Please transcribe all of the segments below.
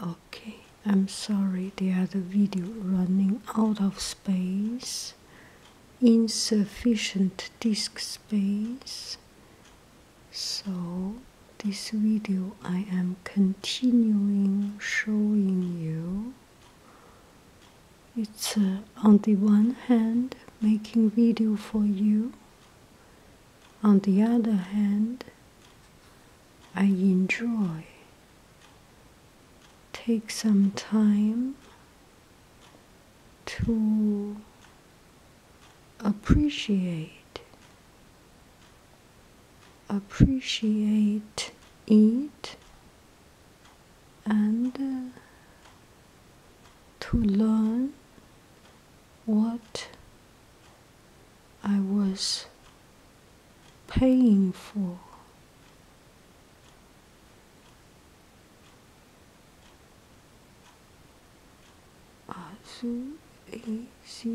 Okay, I'm sorry, the other video running out of space, insufficient disk space. So, this video I am continuing showing you. It's uh, on the one hand making video for you on the other hand, I enjoy take some time to appreciate appreciate eat, and uh, to learn what I was paying for. ACUS.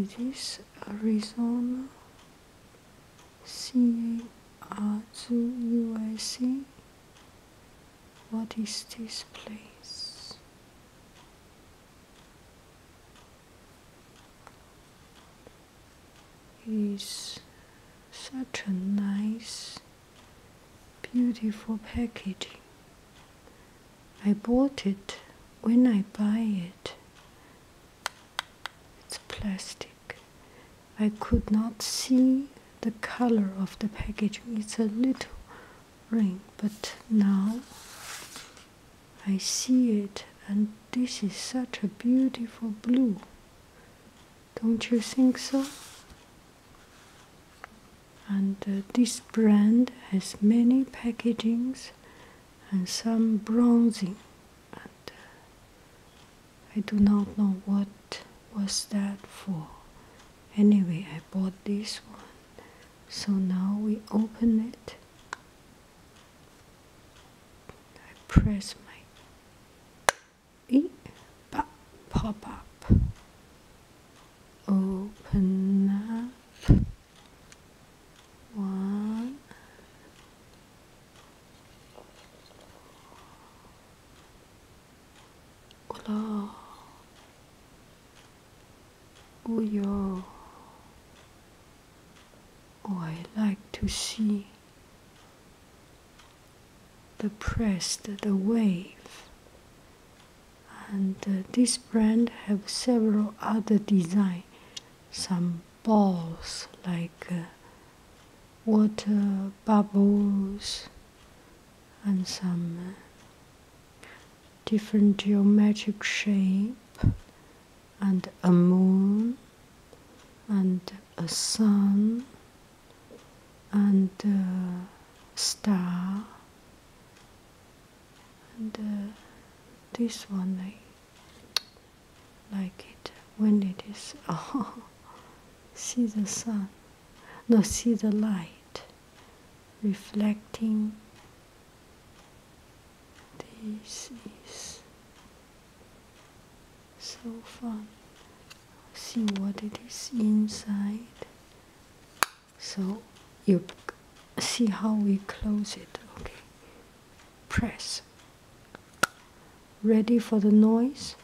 It is Arizona CARZUUSA what is this place? Is such a nice, beautiful packaging. I bought it. When I buy it, it's plastic. I could not see the color of the packaging. It's a little ring, but now I see it, and this is such a beautiful blue. Don't you think so? And uh, this brand has many packagings and some bronzing. Uh, I do not know what was that for. Anyway, I bought this one. So now we open it. I press my e pop pop up. Open up. One, 올라 우여 Oh, I like to see the pressed, the wave. And uh, this brand have several other design, some balls like uh, water bubbles and some uh, different geometric shape and a moon and a sun and a star and uh, this one like it when it is oh see the sun no see the light reflecting this is so fun see what it is inside so you see how we close it okay press Ready for the noise?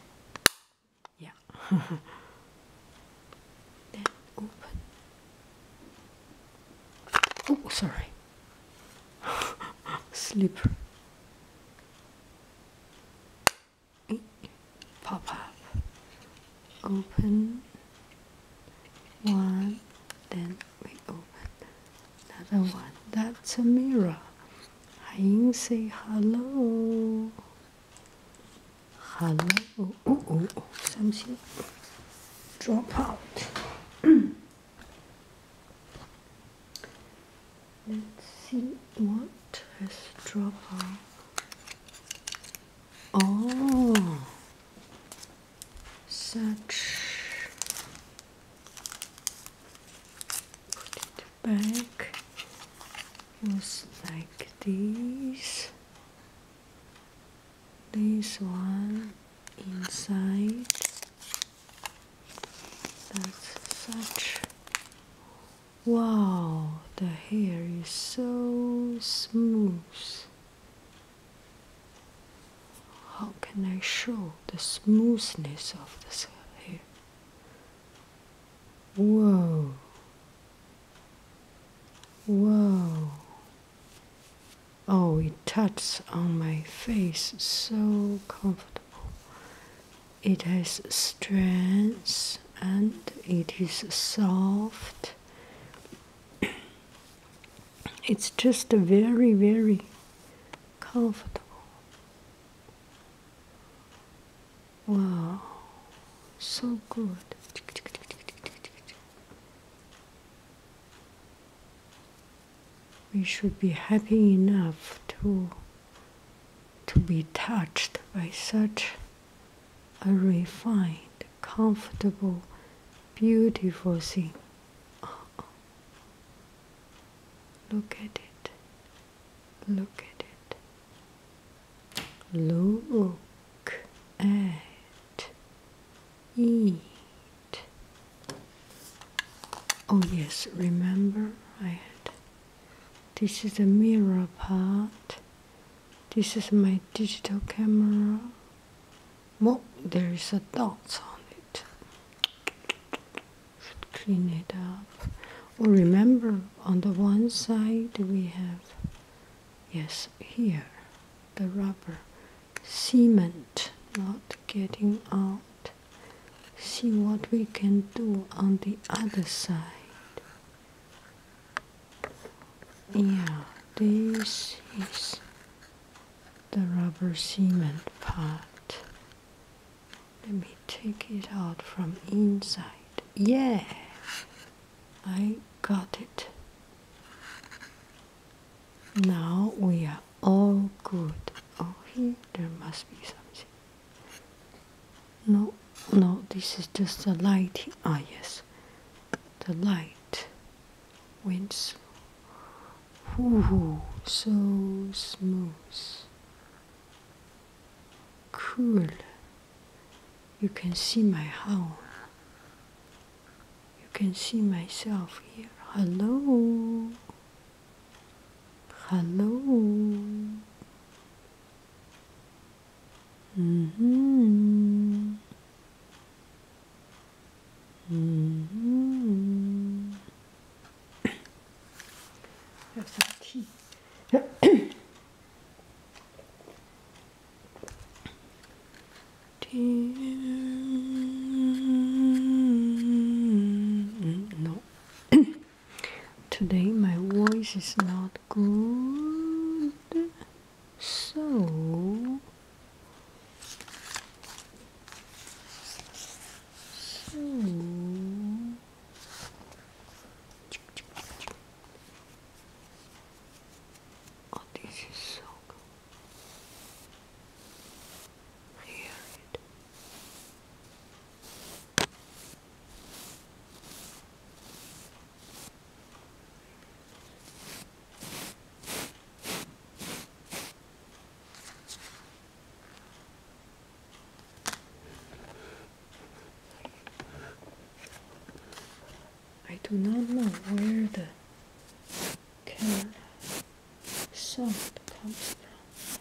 Yeah. then open. Oh, sorry. Slipper. Pop up. Open. One. Then we open another one. That's a mirror. Haying say hello. Hello. oh, oh, oh. something drop out. Let's see what has dropped out. Oh, such put it back was like this this one inside that's such wow the hair is so smooth how can I show the smoothness of this hair? Whoa! Whoa! Oh, it touches on my face so comfortable. It has strands, and it is soft. It's just very, very comfortable. Wow, so good. We should be happy enough to to be touched by such a refined, comfortable, beautiful thing. Uh-uh. Look at it. Look at it. Look at it. Oh yes, remember I had this is the mirror part this is my digital camera. Well, there is a dot on it. Should clean it up. Or remember, on the one side we have, yes, here, the rubber cement not getting out. See what we can do on the other side yeah this is the rubber cement part let me take it out from inside yeah i got it now we are all good oh here there must be something no, no, this is just the light. Ah, yes, the light winds. Ooh, so smooth, cool. You can see my house. You can see myself here. Hello. Hello. Mm -hmm. Mm -hmm. Have some tea. tea. No. Today my voice is not good, so. Oh, this is so good. Hear it. I do not know where the camera sound comes from.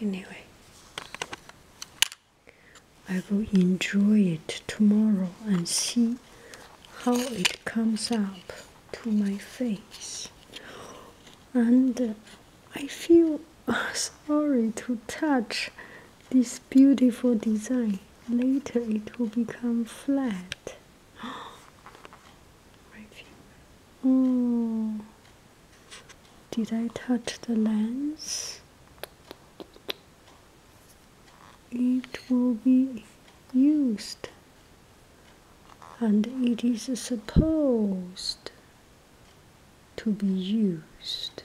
Anyway, I will enjoy it tomorrow and see how it comes up to my face. And uh, I feel sorry to touch this beautiful design. Later it will become flat. Did I touch the lens? It will be used and it is supposed to be used.